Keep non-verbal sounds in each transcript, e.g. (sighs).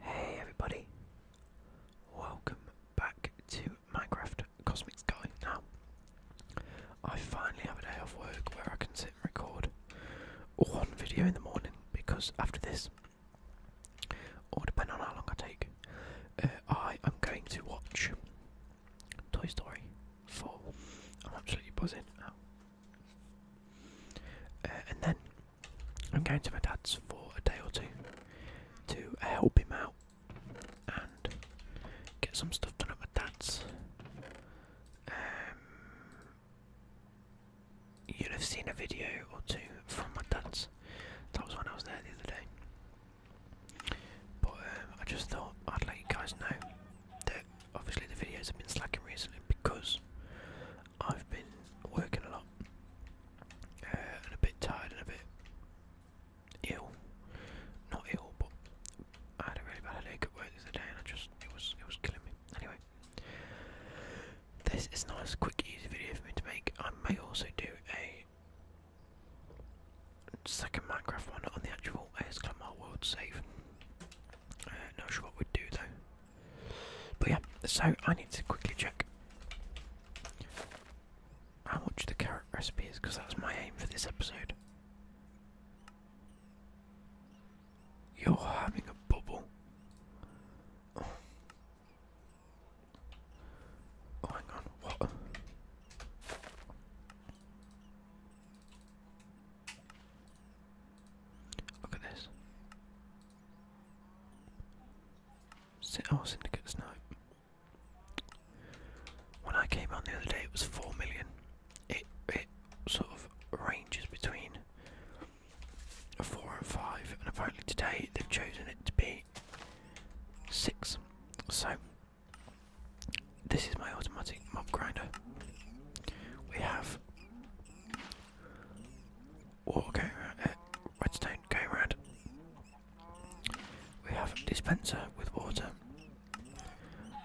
Hey everybody, welcome back to Minecraft Cosmic Sky. Now, I finally have a day off work where I can sit and record one video in the morning because after this, or depending on how long I take, uh, I am going to watch Toy Story 4. I'm absolutely buzzing uh, and then I'm going to my dad's for a day or two to help him out and get some stuff done at my dad's. Um, you'll have seen a video or two from my dad's. That was when I was there the other day. But um, I just thought I'd let you guys know that obviously the videos have been slacking recently because I've been working a lot uh, and a bit tired and a bit ill. Not ill, but I had a really bad headache at work the other day, and I just it was it was killing me. Anyway, this is not as quick, easy video for me to make. I may also do a second Minecraft one on the actual ASCLAMR world save. Uh, not sure what we'd do though. But yeah, so I need to quickly check how much the carrot recipe is because that was my aim for this episode. You're having a bubble. Oh, oh hang what? Look at this. Oh, syndicates, now. When I came on the other day, it was four million. It it sort of ranges between four and five, and apparently today they've chosen it to be six. So this is my automatic mob grinder. We have Water Redstone going around. We have a dispenser with water.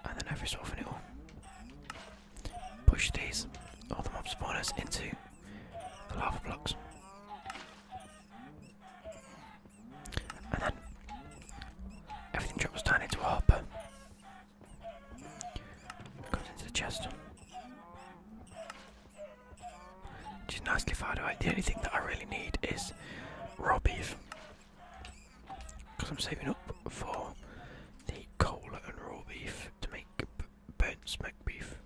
And then every so often it will push these, all the mob spawners, into the lava blocks. And then everything drops down into a hopper. into the chest. Which is nicely fired away. The only thing that I really need is raw beef. Because I'm saving up for the cola and raw beef to make burnt smack beef.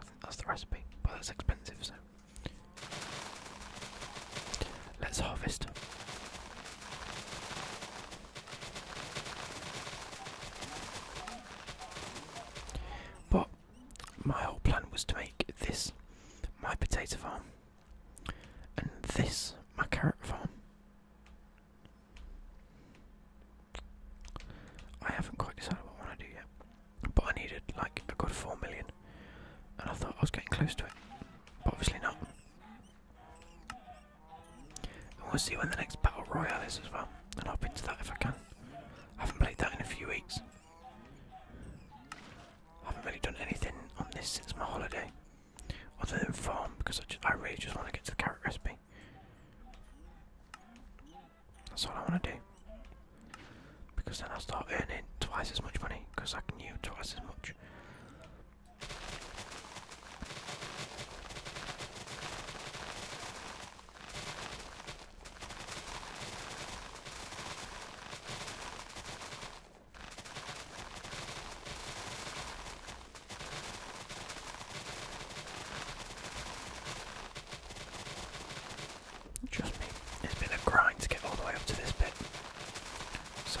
I think that's the recipe, but that's expensive, so. Let's harvest. But my whole plan was to make this my potato farm and this my carrot farm. I haven't quite decided what I want to do yet, but I needed like a good four million, and I thought I was getting close to it, but obviously not. And we'll see when the next Battle Royale is as well. And I'll be into that if I can. I haven't played that in a few weeks. I haven't really done anything on this since my holiday. Other than farm, because I, just, I really just want to get to the carrot recipe. That's all I want to do. Because then I'll start earning twice as much money, because I can use twice as much. Trust me, it's been a grind to get all the way up to this bit. So.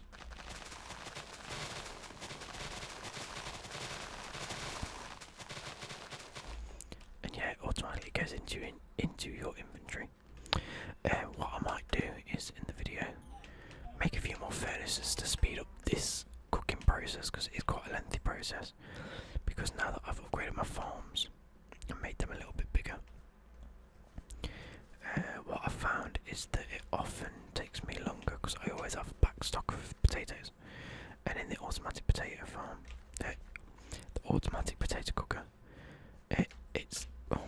And yeah, automatically goes into into your inventory. Uh, what I might do is in the video make a few more furnaces to speed up this cooking process because it's quite a lengthy process. Because now that I've upgraded my farms and made them a little bit bigger, uh, what I've found is that it often takes me longer because I always have back stock of potatoes. And in the automatic potato farm, uh, the automatic potato cooker, uh, it's oh,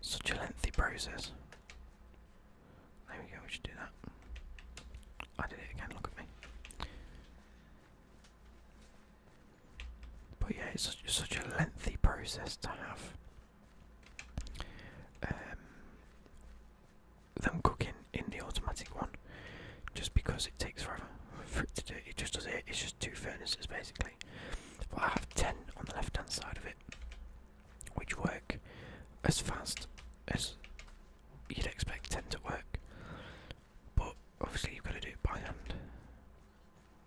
such a lengthy process. There we go, we should do that. I did it again, look at me. But yeah, it's such, a lengthy process to have um, them cooking in the automatic one, just because it takes forever to do. It just does it. It's just two furnaces basically. But I have ten on the left-hand side of it, which work as fast as you'd expect ten to work. But obviously you've got to do it by hand.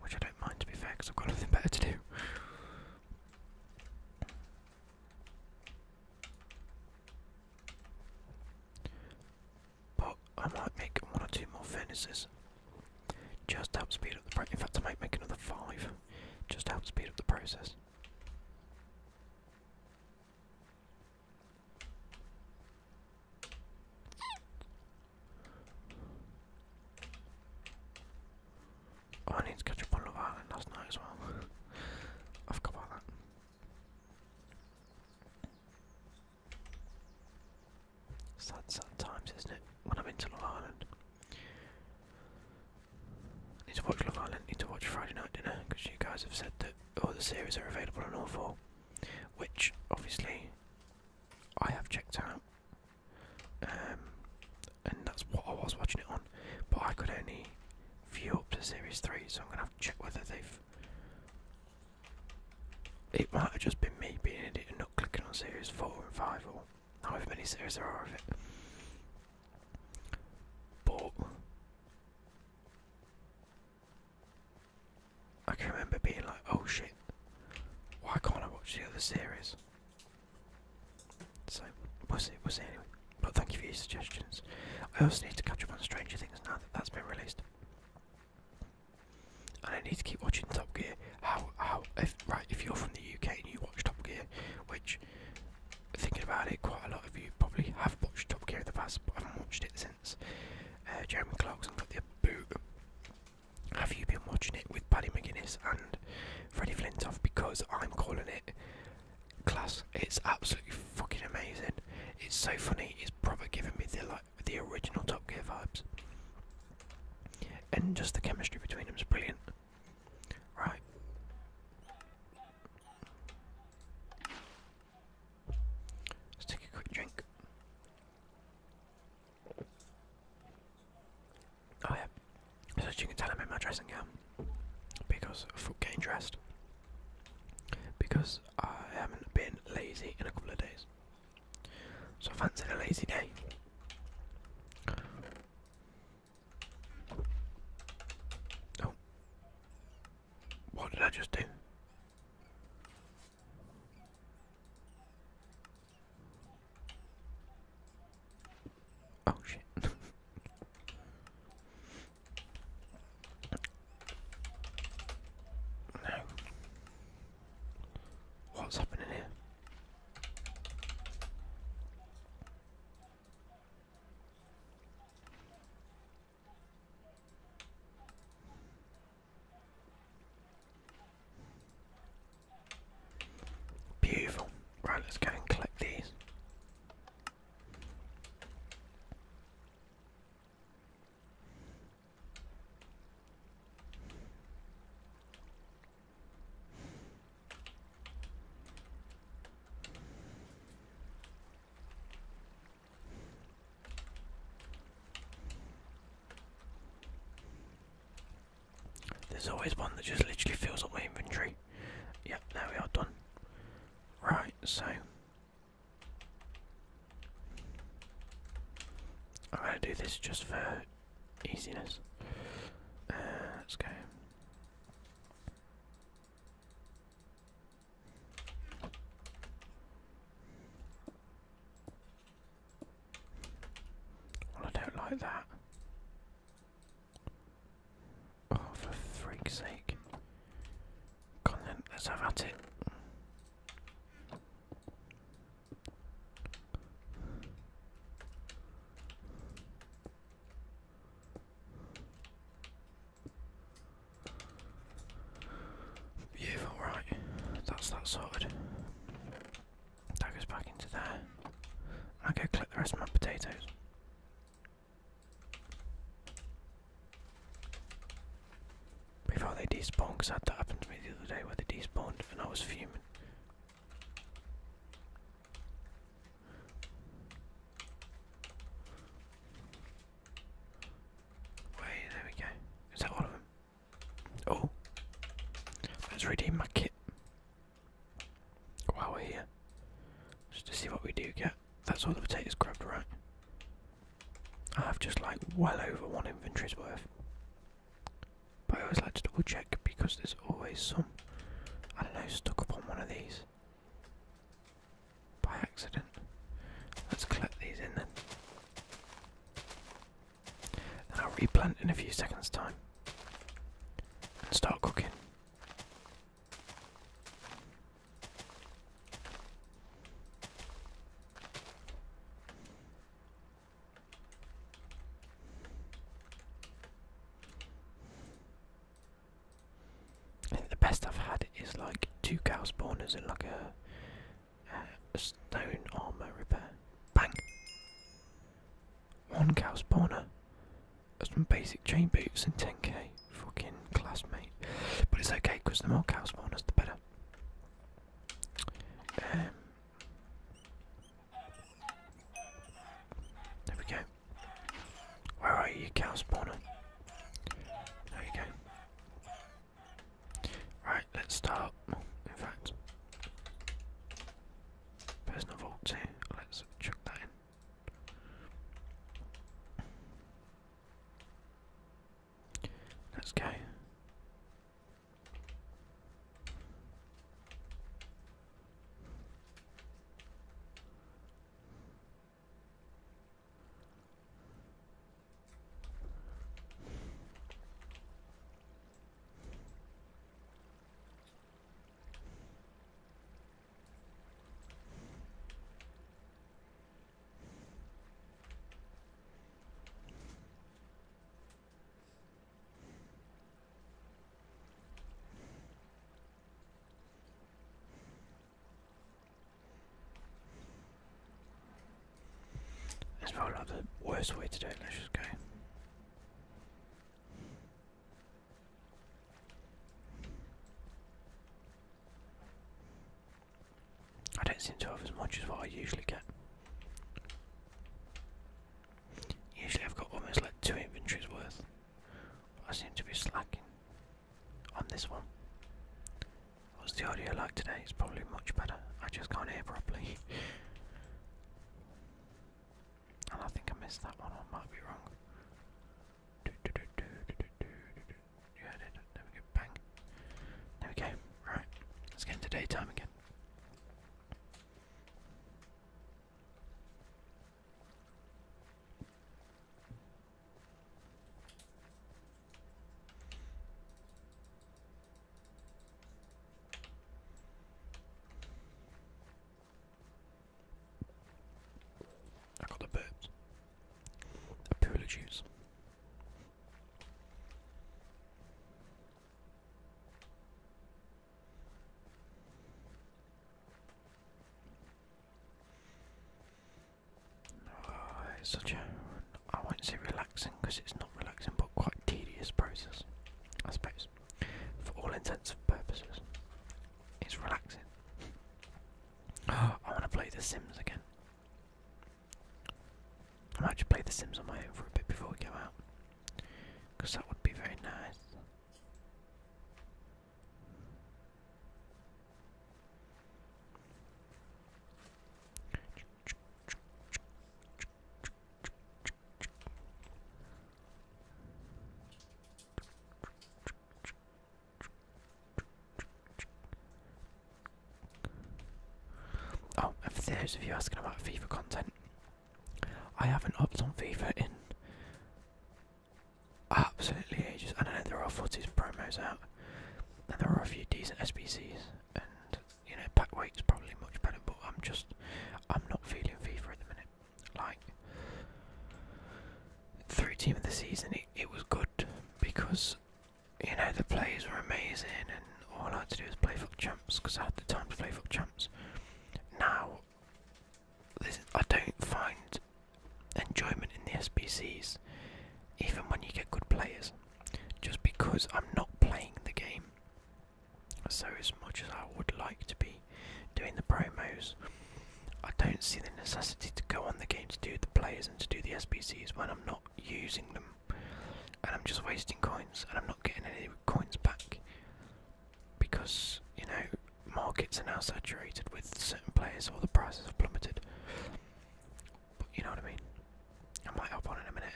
Which I don't mind to be fair, I've got nothing better to do. But I might make one or two more furnaces. Just to help speed up the process. In fact, I might make another five. Just to help speed up the process. Oh, I need to catch up on Love Island last night as well. (laughs) I forgot about that. Sad, sad times, isn't it? When I'm into Love Island. I need to watch Love Island, need to watch Friday Night Dinner, because you guys have said that all the series are available on all four. Which, obviously, I have checked out. Um, and that's what I was watching it on. But I could only view up to series three, so I'm gonna have to check whether they've. It might have just been me being an idiot and not clicking on series four and five, or however many series there are of it. But I can remember being like, "Oh shit, why can't I watch the other series?" So we'll see, we'll see But thank you for your suggestions. I also need to catch up on Stranger Things now that that's been released. And I need to keep watching Top Gear. How how if right if you're from the UK and you watch Top Gear, which thinking about it, quite a lot of you probably have watched Top Gear in the past, but haven't watched it since. Uh, Jeremy Clarkson got the boot have you been watching it with Paddy McGuinness and Freddie Flintoff? Because I'm calling it class. It's absolutely fucking amazing. It's so funny. It's proper giving me the like the original Top Gear vibes, and just the chemistry between them is brilliant. Right. Let's take a quick drink. Oh yeah, so as you can tell I'm in my dressing gown, because i foot getting dressed, because I haven't been lazy in a couple of days. So I fancied a lazy day. Oh. What did I just do? Oh shit. (laughs) no. What's happening here? Beautiful. Right, let's go and collect these. There's always one that just literally fills up my inventory. Yeah, now we are done. Right, so I'm gonna do this just for easiness. Uh, let's go. Well, I don't like that. Oh, for freak's sake. Come on then, have at it. Beautiful, right. That's that sorted. That goes back into there. i go click the rest of my potatoes. Before they despawn, because that happened to me the other day where they despawned and I was fuming. Wait, there we go. Is that all of them? Oh, let's redeem my kit while we're here, just to see what we do get. That's all the potatoes grabbed, right? I have just like well over one inventory's worth. But I always like to double check because there's always some, I don't know, stuck up on one of these by accident. Let's collect these in then. Then I'll replant in a few seconds' time and start cooking. I think the best I've had is like two cows' spawners and like a, uh, a stone armor repair. Bang! One cow's That's Some basic chain boots and 10k. Fucking classmate. But it's okay because the more cow spawners, the better. Um, there we go. Where are you, cow spawner? There you go. Right, let's start. In fact, Personal vaults here. Let's chuck that in. Let's go. That's probably like the worst way to do it, let's just go. I don't seem to have as much as what I usually get. Usually I've got almost like two inventories worth. I seem to be slacking on this one. What's the audio like today? It's probably much better. I just can't hear properly. (laughs) I think I missed that one, I might be wrong. Bang. There we go. Right. Let's get into daytime again. I got a bit. A pool of juice. Ah, such a, I won't say relaxing because it's not relaxing, but quite tedious process, I suppose for all intents and purposes. It's relaxing. (gasps) I want to play The Sims again. I might just play The Sims on my own for a bit before we go out. Because that would be very nice. Oh, and for those of you asking about FIFA content, I haven't upped on FIFA in absolutely ages. I don't know there are footage promos out, and there are a few decent SPCs you know, back weight's probably much better, but I'm just, I'm not feeling FIFA at the minute. Like, through team of the season, it, it was good because, you know, the players were amazing and all I had to do was play Fuck Champs because I had the time to play Fuck Champs. Now, I don't find enjoyment in the SBCs even when you get good players just because I'm not playing the game so as much as I would like to be doing the promos, I don't see the necessity to go on the game to do the players and to do the SPCs when I'm not using them. And I'm just wasting coins and I'm not getting any coins back. Because, you know, markets are now saturated with certain players or the prices have plummeted. But you know what I mean? I might hop on in a minute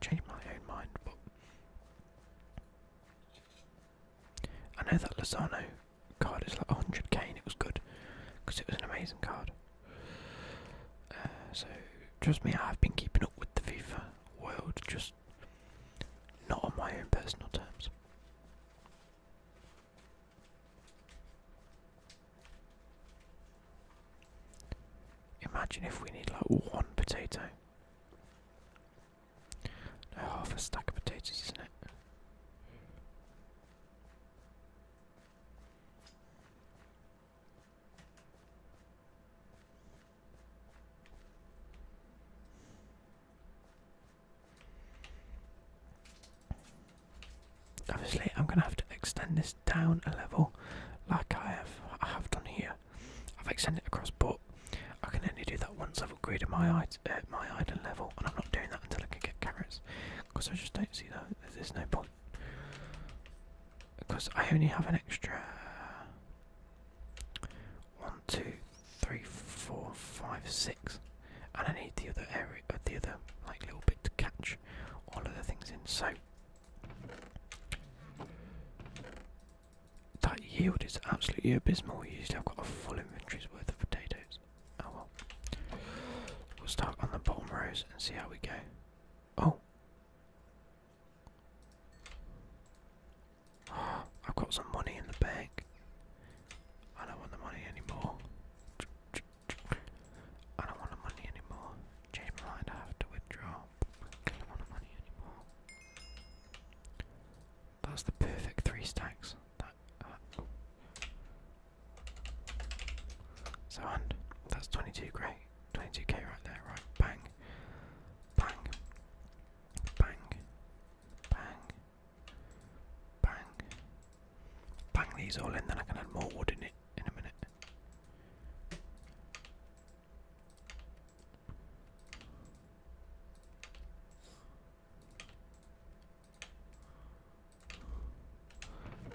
change my own mind, but I know that Lozano card is like 100k and it was good because it was an amazing card. Uh, so trust me, I've been keeping up with the FIFA world, just not on my own personal terms. Imagine if we need like one potato. Now half a stack of potatoes, isn't it? Obviously, I'm going to have to extend this down a level, like I have I have done here. I've extended across, but I can only do that once I've upgraded my, uh, my island level, and I'm not doing that until I can get carrots, because I just don't see that, there's no point. Because I only have an extra... One, two, three, four, five, six, and I need the other area, uh, the other like little bit to catch all of the things in. So that yield is absolutely abysmal. Usually I've got a full inventory's worth of potatoes. Oh well. We'll start on the bottom rows and see how we go. oh (gasps) I've got some money in the bank. I don't want the money anymore. I don't want the money anymore. Change my mind, I have to withdraw now. I don't want money anymore. That's the perfect three stacks. That, uh, so and that's 22 great, 22k right there, right? Bang, bang, bang, bang, bang, bang these all in. Then I can add more wood in it in a minute.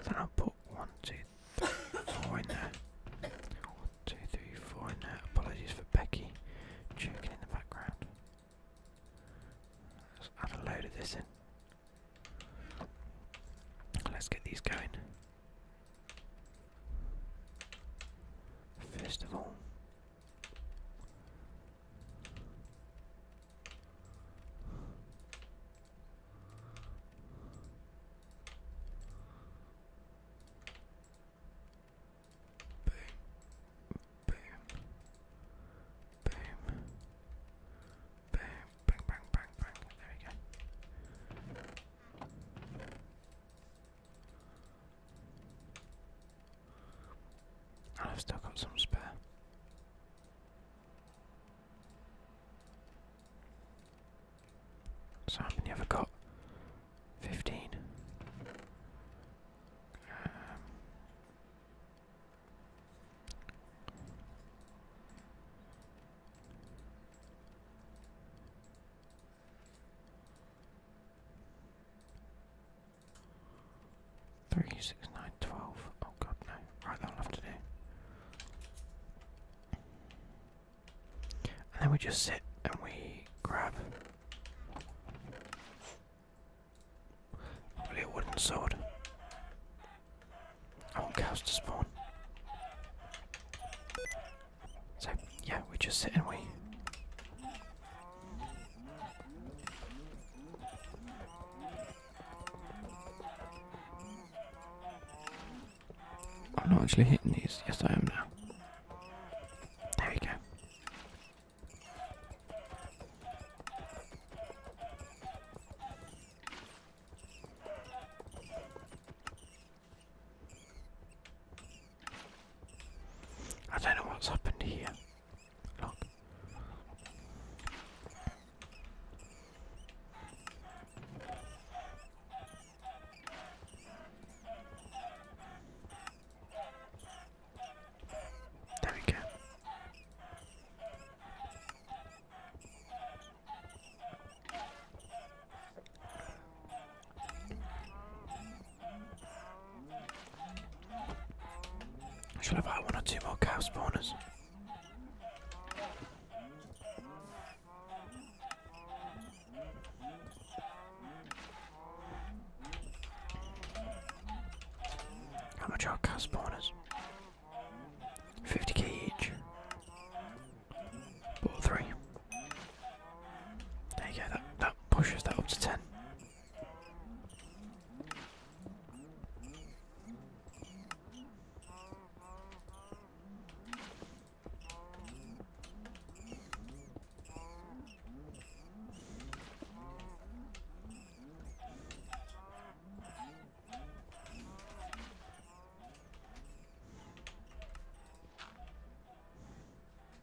Then i put one, two, three, four in there. One, two, three, four in there. Apologies for Becky jerking in the background. add a load of this in. Let's get these going. First of all, boom, boom, boom, boom, bang, bang, bang, bang. There we go. I've still got some spare. So how many have got? Fifteen. Um, Three, six, nine, twelve. Oh god, no. Right, that'll have to do. And then we just sit and we grab probably a wooden sword. I want cows to spawn. So, yeah, we just sit and we. I'm not actually hitting these. Yes, I am now. There we go. I don't know what's happened here. There we go. I should have had one or two more cow spawners. How much are cow spawners? 50k each. Bought three. There you go, that, that pushes that up to 10.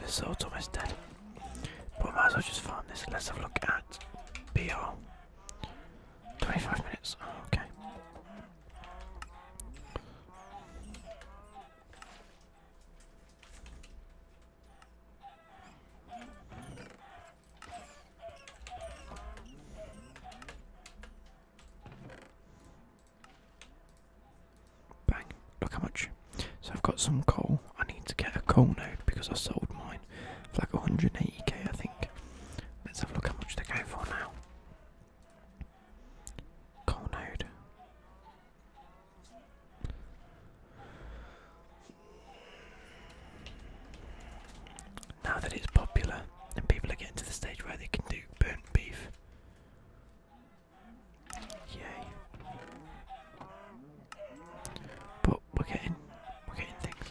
This sword's almost dead. But might as well just find this. Let's have a look at BR. 25 minutes. okay. Bang, look how much. So I've got some coal. I need to get a coal node because I sold mine for like 180k, I think. Let's have a look how much they go for now. Coal node. Now that it's popular and people are getting to the stage where they can do burnt beef. Yay. But we're getting we're getting things.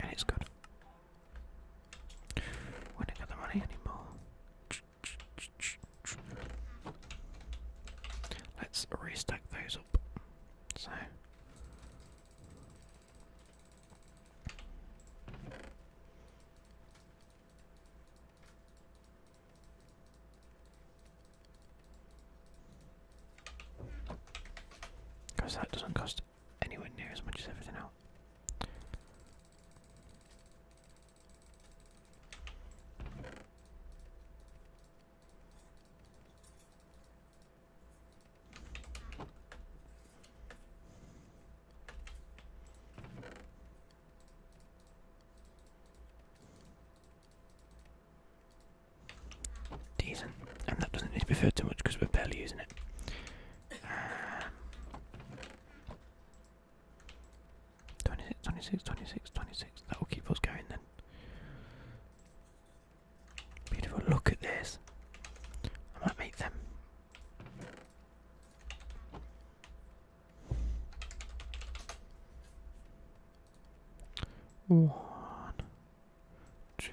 And it's good. We don't got the money anymore. Let's restack those up. So because that doesn't cost anywhere near as much as everything else. Decent, and that doesn't need to be filled too much because we're barely using it. Um, that will keep us going then. Beautiful. Look at this. I might make them. One, two,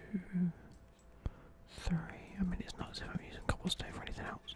three. I mean, it's not as if I'm using cobblestone for anything else.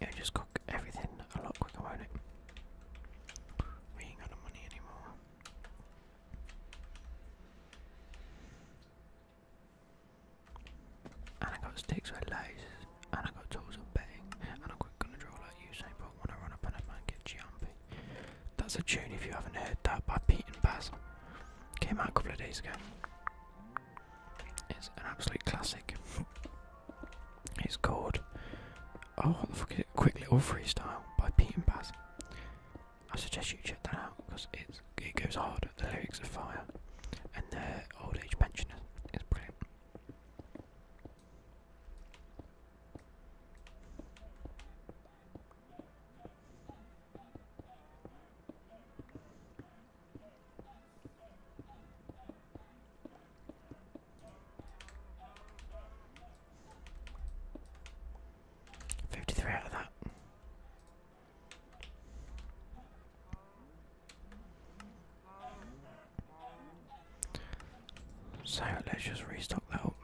It'll just cook everything a lot quicker, won't it? We ain't got the money anymore. And I got sticks with laces, and I got tools of betting, and i am got gonna draw like you say, but when I run up and I get jumpy. That's a tune if you haven't heard that by Pete and Baz. Came out a couple of days ago. It's an absolute classic. It's called Oh what the fuck Quick Little Freestyle by Pete and Baz. I suggest you check that out because it goes hard, the lyrics are fire and their old age pensioners is brilliant. Fifty-three out of that. So let's just restock that up.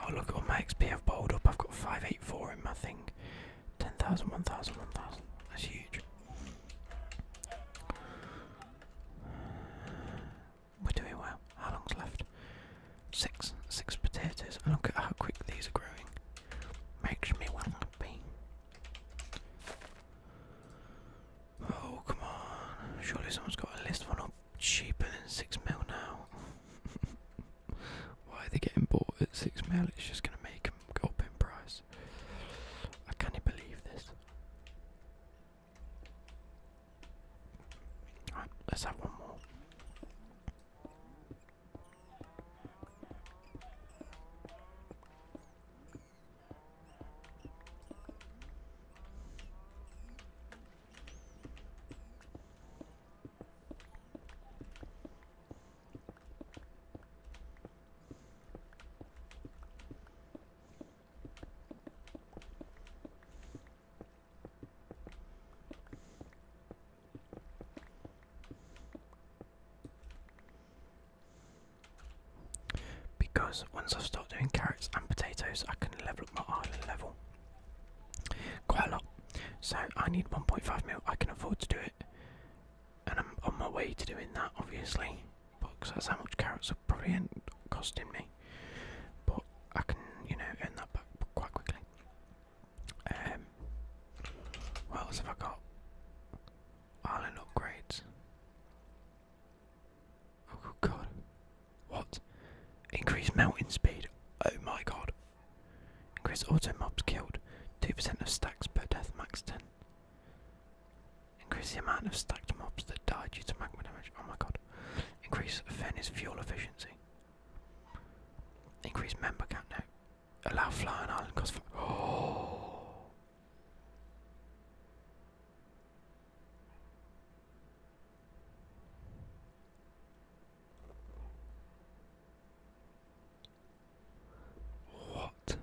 Oh, look at all my XP I've bowled up. I've got 584 in my thing. 10,000, 1,000, 1,000. That's huge. We're doing well. How long's left? Six. Six potatoes. And look at how quick these are growing. Makes me want to be. Oh, come on. Surely someone's got a list one up cheaper than six mil now. (laughs) Why are they getting bought at six mil? It's just gonna make them go up in price. I can't believe this. let's have one more. Because once I've stopped doing carrots and potatoes, I can level up my island level. Quite a lot. So I need 1.5 mil. I can afford to do it, and I'm on my way to doing that, obviously. Because that's how much carrots are probably costing me. But I can, you know, earn that back quite quickly. Um, what else have I got? Island upgrades. Oh god. What? Increase mounting speed. Oh my god. Increase auto mobs killed. 2% of stacks per death, max 10. Increase the amount of stacked mobs that die due to magma damage. Oh my god. Increase Fen's fuel efficiency. Increase member count now. Allow flying island cost Oh! (gasps) (laughs) What?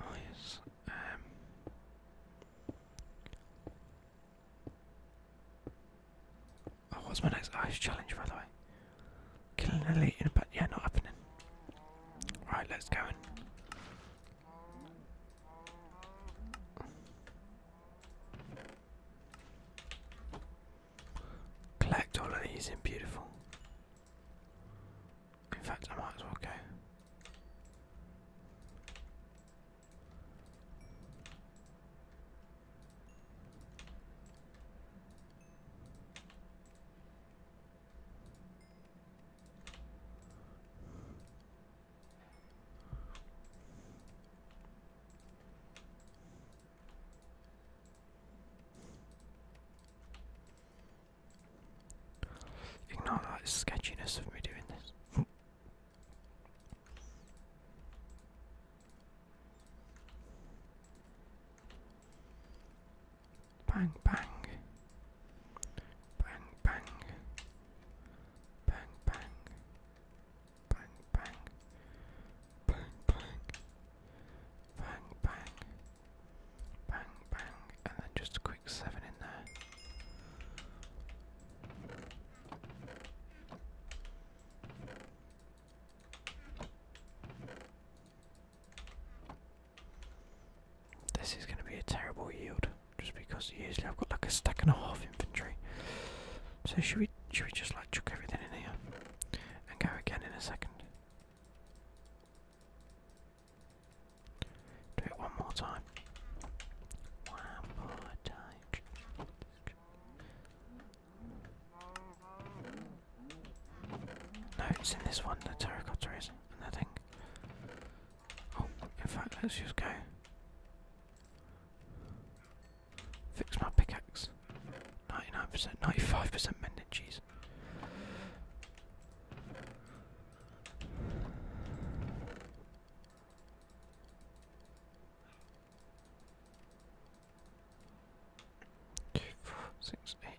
Um, oh um what's my next ice challenge by the way? Killing elite in a but yeah, not happening. Right, let's go in. Collect all of these in beautiful. In fact, I might as well go. Ignore that sketchiness of me doing this. Bang, bang. Bang, bang. Bang, bang. Bang, bang. Bang, bang. Bang, bang. Bang, bang. And then just a quick seven in there. This is going to be a terrible yield, just because usually I've got like a stack and a half infantry. So should we should we just like chuck everything in here and go again in a second? Do it one more time. One more time. No, it's in this one, the terracotta is, and I think. Oh, in fact, let's just go. Fix my pickaxe. 99%, 95% mended, cheese. Two, four, six, eight,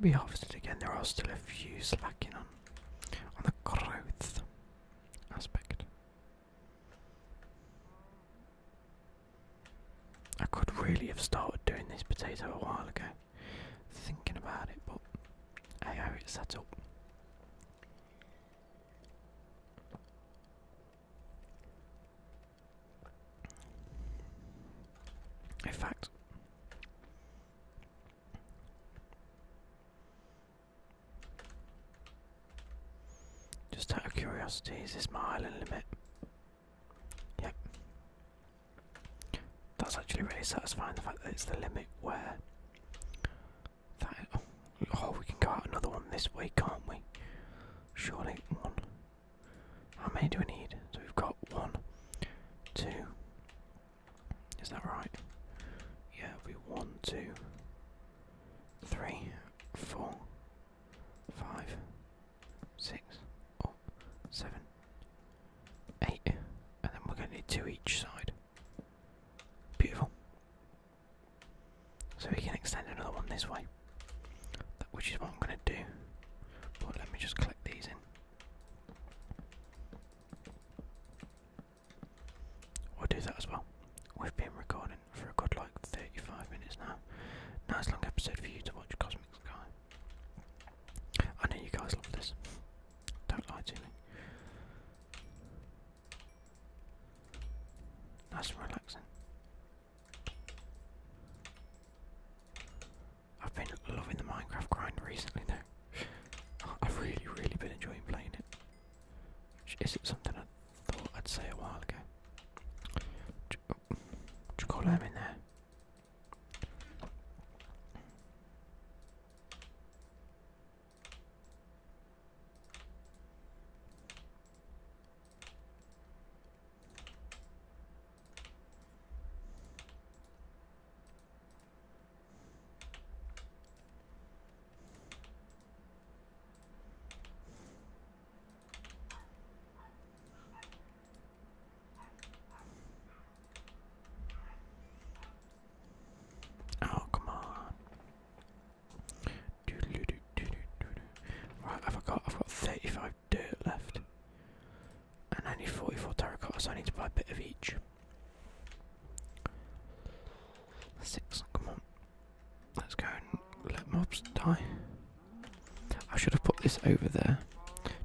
We harvested again, there are still a few slacking on on the growth aspect. I could really have started doing this potato a while ago, thinking about it, but hey ho, it's set up. In fact, just out of curiosity, is this my island limit? Yep. That's actually really satisfying, the fact that it's the limit where... That, oh, we can go out another one this way, can't we? Surely one, how many do we need? So we've got one, two. Is that right? Yeah, we one, two, three, four, five, six, oh, seven, eight, and then we're going to need two each side. Beautiful. So we can extend another one this way, which is what I'm going to do. But let me just click these in. We'll do that as well. We've been recording for a good like 35 minutes now. Nice long episode for you to watch Cosmic Sky. I know you guys love this. Don't lie to me. Nice relaxing. I've been loving the Minecraft grind recently though. I've really, really been enjoying playing it. Is it. something I thought I'd say a while ago. Ch oh, chocolate in there. Oh, come on. Right, I've got I've got 35 of dirt left. And I need 44 terracotta, so I need to buy a bit of each. Six, come on. Let's go and let mobs die. I should have put this over there,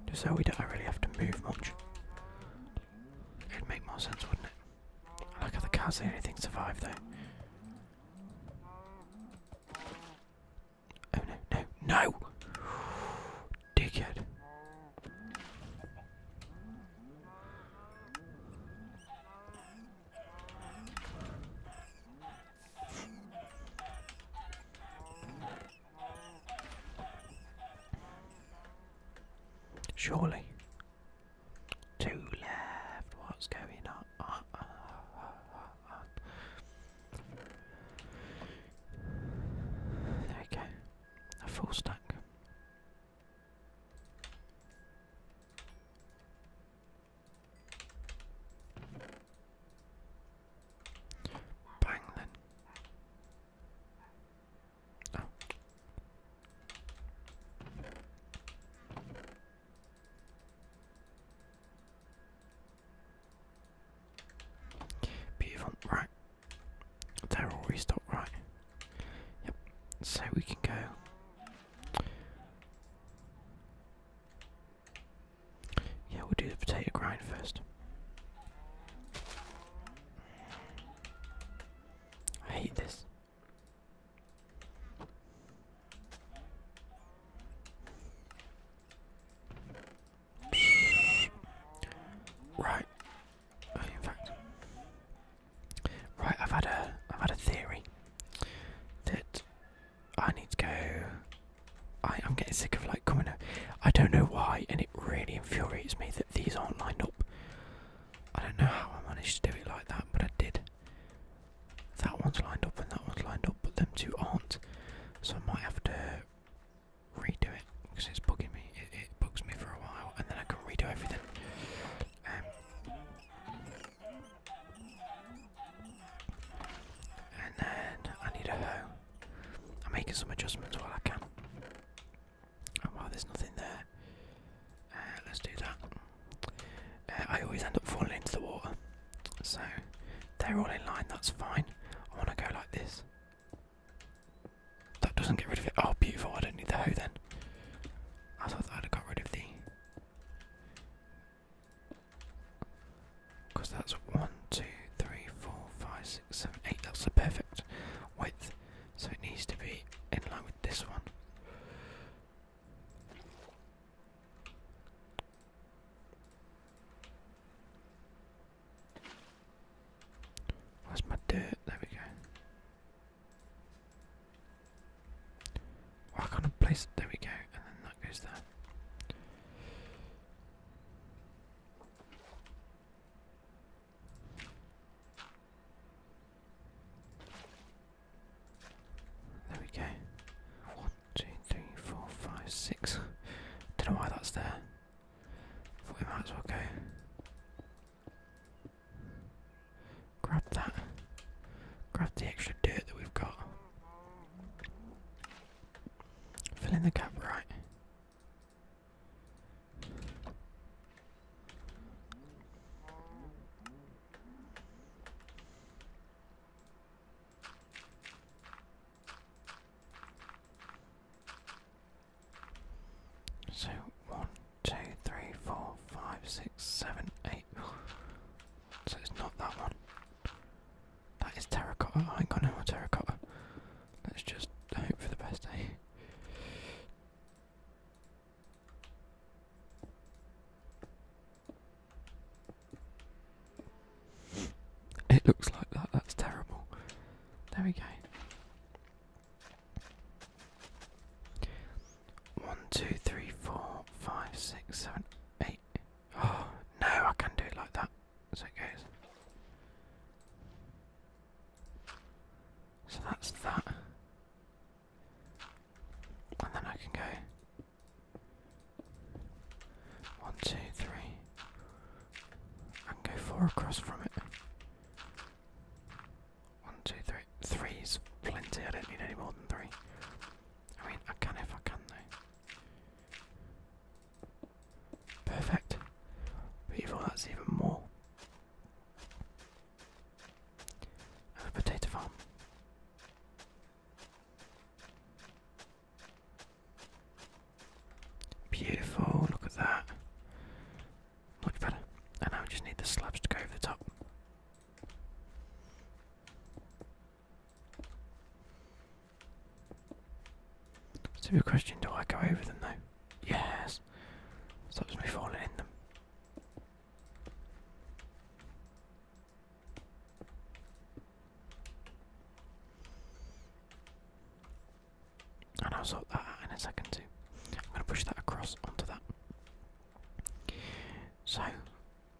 just so we don't really have to move much. It'd make more sense, wouldn't it? I like how the cows, the only thing survive though. Oh no, no, no! Dickhead. Surely. Two left. What's going on? There we go. A full stack. Bang then. Oh. Beautiful, right. They're all restocked, right. Yep, so we can go. Yeah, we'll do the potato grind first. I hate this. Right. In fact, right. I've had a I've had a theory that I need to go. I, I'm getting sick of like coming. Up. I don't know why, and it really infuriates me that these aren't lined up. I don't know how I managed to do it like that, but I did. That one's lined up and that one's lined up, but them two aren't. So I might have to redo it because it's bugging me. It, bugs me for a while, and then I can redo everything. Um, and then I need a hoe. I'm making some adjustments while I can. And while there's nothing there, uh, let's do that. Uh, I always end up falling into the water, so they're all in line. That's fine. I want to go like this. That doesn't get rid of it. Oh, beautiful. I don't need the hoe then. I thought I'd got rid of the. Because that's 1, That's the perfect width. So it needs to be in line with this one. Where's my dirt? There we go. Why well, can't I place it? There we go, and then that goes there. There we go. One, two, three, four, five, six. (laughs) Don't know why that's there we might as well go. Grab that. Grab the extra dirt that we've got. Fill in the gap right. So one, two, three, four, five, six, seven, eight. (sighs) So it's not that one. That is terracotta. I ain't got no more terracotta. Let's just hope for the best Eh? It looks like that, that's terrible. There we go. One, two, three, four, five, six, seven, eight. Oh, (gasps) no, I can not do it like that. So it goes. So that's that. And then I can go. One, two, three, I can go four across from it. One, two, three. Three's plenty. I don't need any more than three. I mean, I can if I can though. Perfect. Beautiful. That's even more. a potato farm. Beautiful, look at that. Much better. And now just need the slabs to go over the top. So question, do I go over them though? Yes. Stops me falling in them and I'll sort that in a second too. I'm going to push that across onto that. So,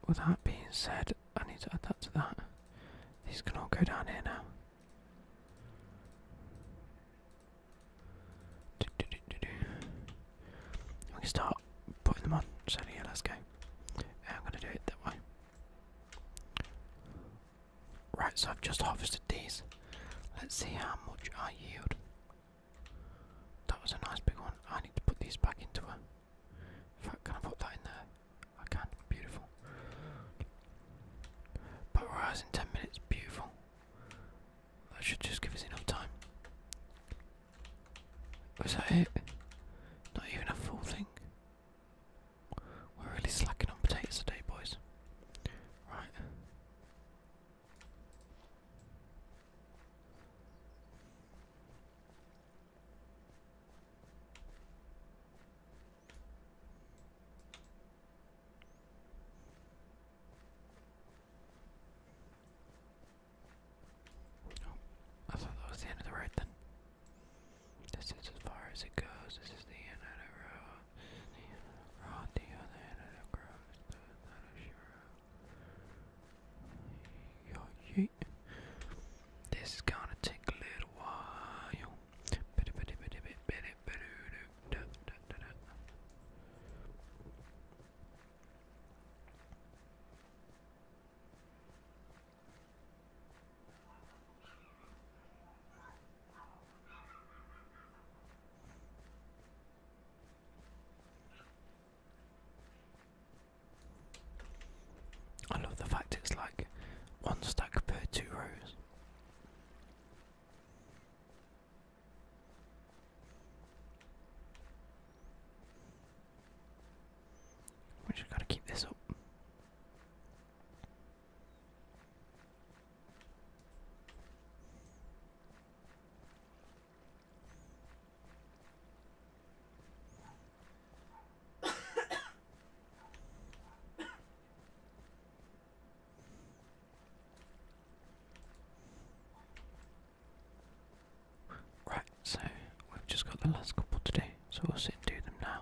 with that being said, I need to add that to that. These can all go down here now. Do, do, do, do, do. We can start putting them on. So yeah, let's go. I'm going to do it that way. Right, so I've just harvested these. Let's see how much I yield. That was a nice big one. I need to put these back into a. In fact, can I put that in there? I can. Beautiful. Pulverize in 10 minutes. Beautiful. That should just give us enough time. Was that it? Not even a full thing. We're really slacking on potatoes today, boys. Right. Oh, I thought that was the end of the road then. This is as far as it goes. This is the end of the road. The the other end of the road is not a sure. This is gonna take a little while. I love the fact it's like one stack per two rows. We just gotta keep this up right, so we've just got the last couple to do, so we'll sit and do them now.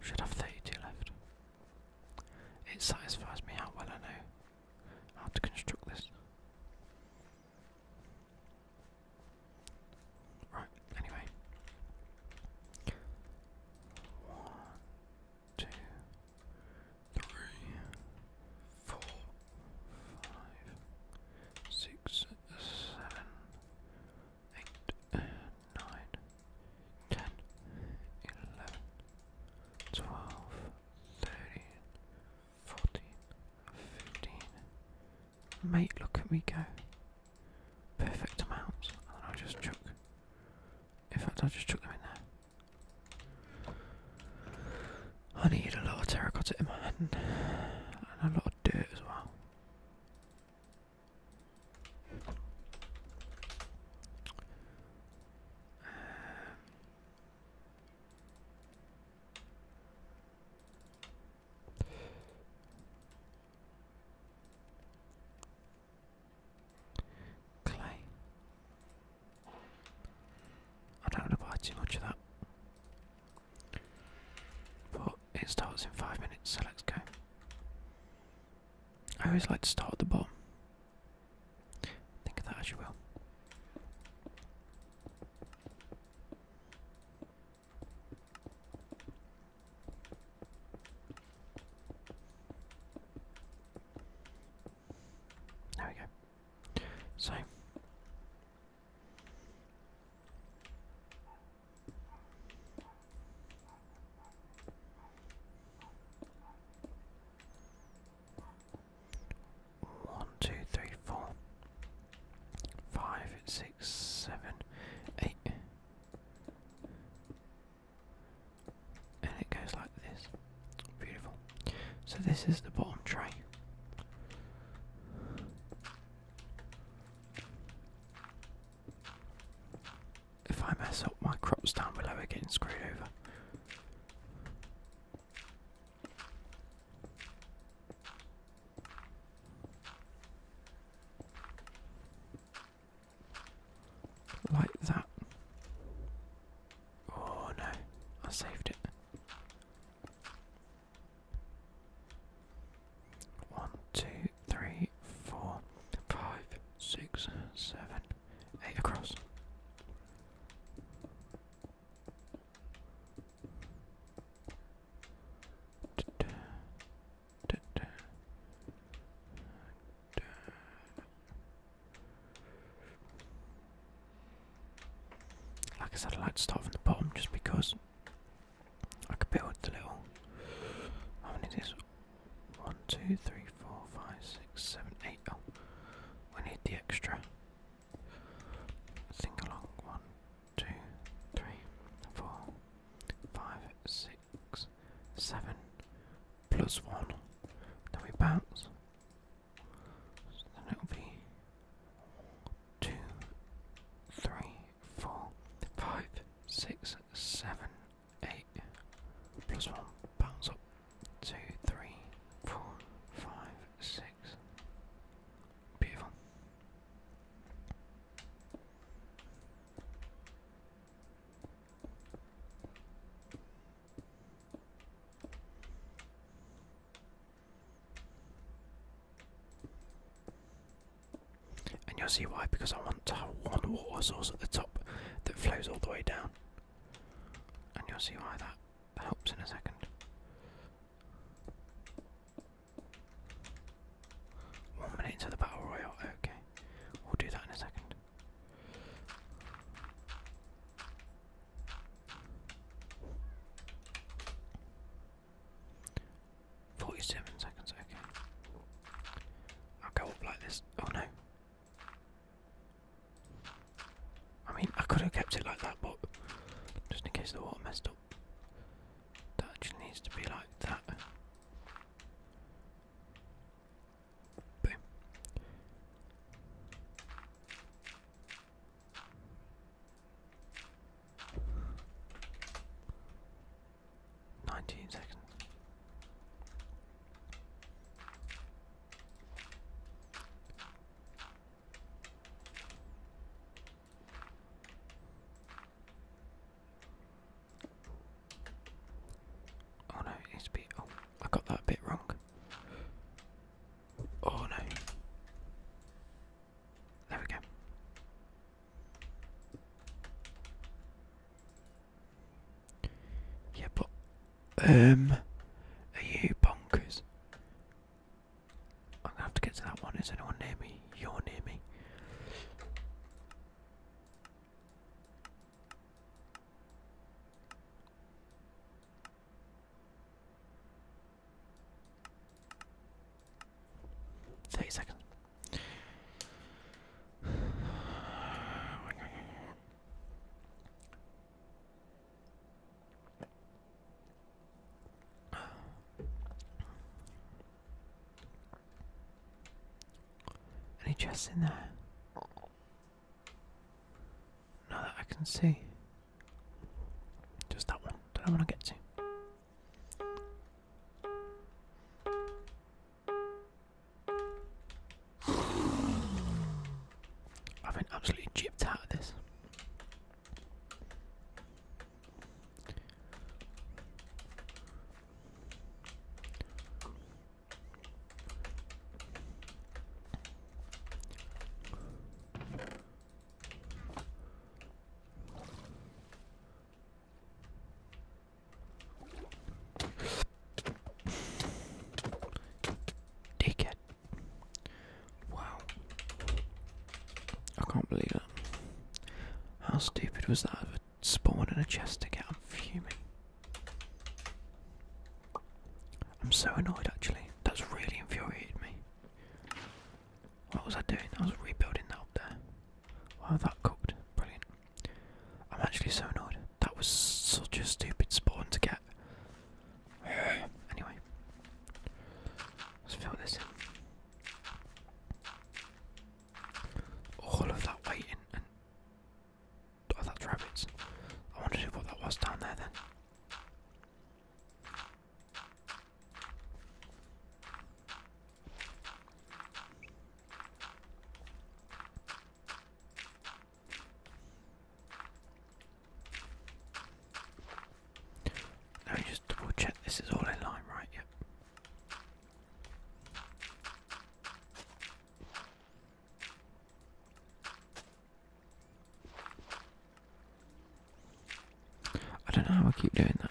Should have 32 left. It satisfies me how well I know how to construct this. Right, anyway. One, two, three, four, five, six, seven, eight, nine, ten, eleven, twelve, thirteen, fourteen, fifteen. Mate, look at me go. Perfect amount. And i just chuck. In fact, i just chuck them in there. I need a lot of terracotta in my hand, and a lot of dirt as well clay. I don't want to buy too much of that. But it starts in five minutes, so let's go. I always like to start at the bottom. Think of that as you will. There we go. So one, two, three, four, five, six, seven, eight. And it goes like this. Beautiful. So this is the bottom tray. If I mess up my crops down below, we're getting screwed over. Like that. Oh no, I saved it. One, two, three, four, five, six, seven, eight across. Like I said, I like to start from the bottom just because I could build the little. How many is this? One, two, three, four, five, six, seven, eight. Oh, we need the extra. Think along. One, two, three, four, five, six, seven, plus one. Then we bounce. So then it'll be two, three, four, five, six, seven, eight. Plus one. Bounce up. Two, three, four, five, six. Beautiful. And you'll see why, because I want to have one water source at the top that flows all the way down. And you'll see why that helps in a second. One minute into the battle royal, okay. We'll do that in a second. 47 seconds, okay. I'll go up like this. Oh no. I mean, I could have kept it like that, but just in case the water messed up. That actually needs to be like that. Boom. 19 seconds. Oh no, it needs Oh, I got that bit wrong. Oh no. There we go. Yeah, but um, are you bonkers? I'm gonna have to get to that one. Is anyone near me? You're near me. 30 seconds. Any chests in there? Now that I can see. Just that one that I want to get to. I've been absolutely gypped out of this. Take it. Wow. I can't believe it. How stupid was that of a spawn in a chest to get? I'm fuming. I'm so annoyed actually. That's really infuriated me. What was I doing? I was rebuilding that up there. Wow, oh, that cooked. Brilliant. I'm actually so annoyed. That was such a stupid spawn to get. (sighs) Anyway, let's fill this in. All of that waiting and. Oh, that's rabbits. I wondered what that was down there then. Now just double check this is all in line, right? Yep. I don't know how I keep doing that.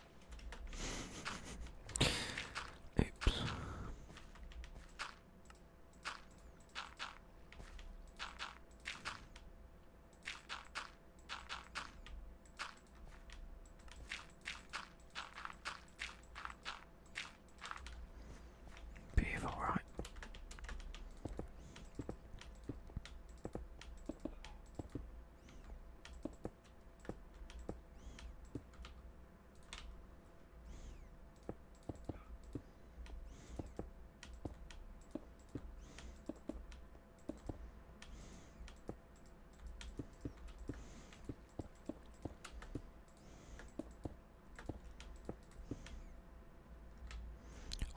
Oops. Beautiful, right?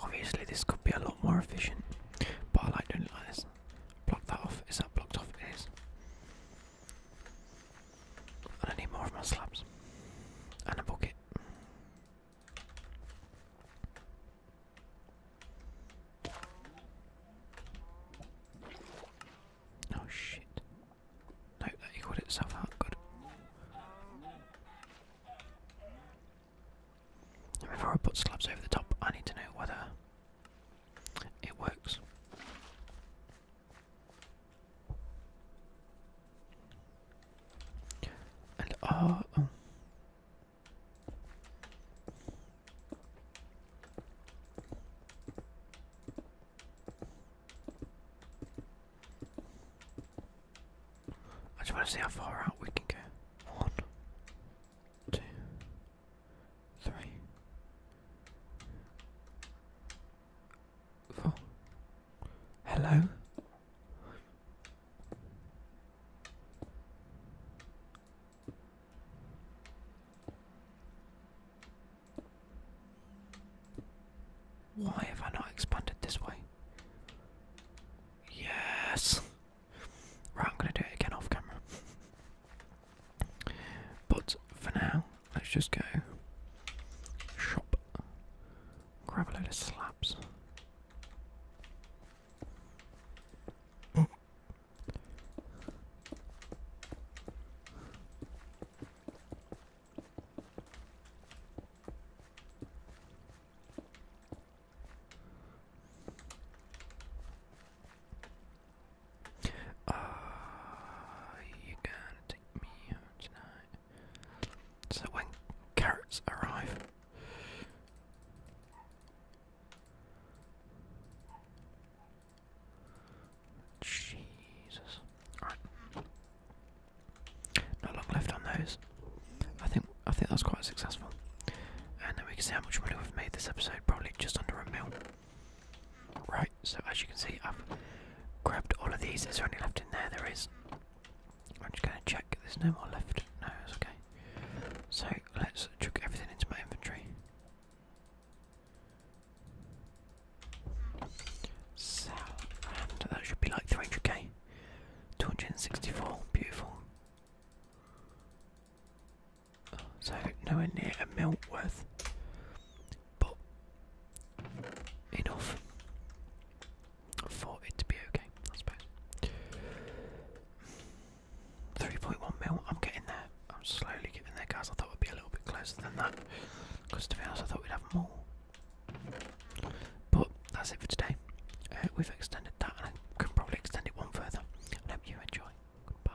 Obviously, this could be a lot more efficient, but I like doing it like this. Block that off. Is that blocked off? It is. And I need more of my slabs. And a bucket. Oh shit. No, that equaled itself out, good. Before I put slabs over the top, I need to know whether it works. Uh, oh. I just want to see how far out we can go. One, two, three, four. Hello. Why have I not expanded this way? Yes. Right, I'm gonna do it again off camera. But for now, let's just go shop, grab a load of slabs. Uh, you gonna take me home tonight? So when carrots arrive. Jesus. Not long left on those. I think I think that was quite successful. And then we can see how much money we've made this episode, probably just under a mil. Right, so as you can see, I've grabbed all of these. There's only left in there? There is. I'm just going to check. There's no more left. No, it's okay. So let's chuck everything into my inventory. So, and that should be like 300k. 264, beautiful so nowhere near a mil worth. But enough for it to be okay, I suppose. 3.1 mil, I'm getting there. I'm slowly getting there, guys. I thought it'd be a little bit closer than that. Because to be honest, I thought we'd have more. But that's it for today. Uh, we've extended that, and I can probably extend it one further. I hope you enjoy. Goodbye.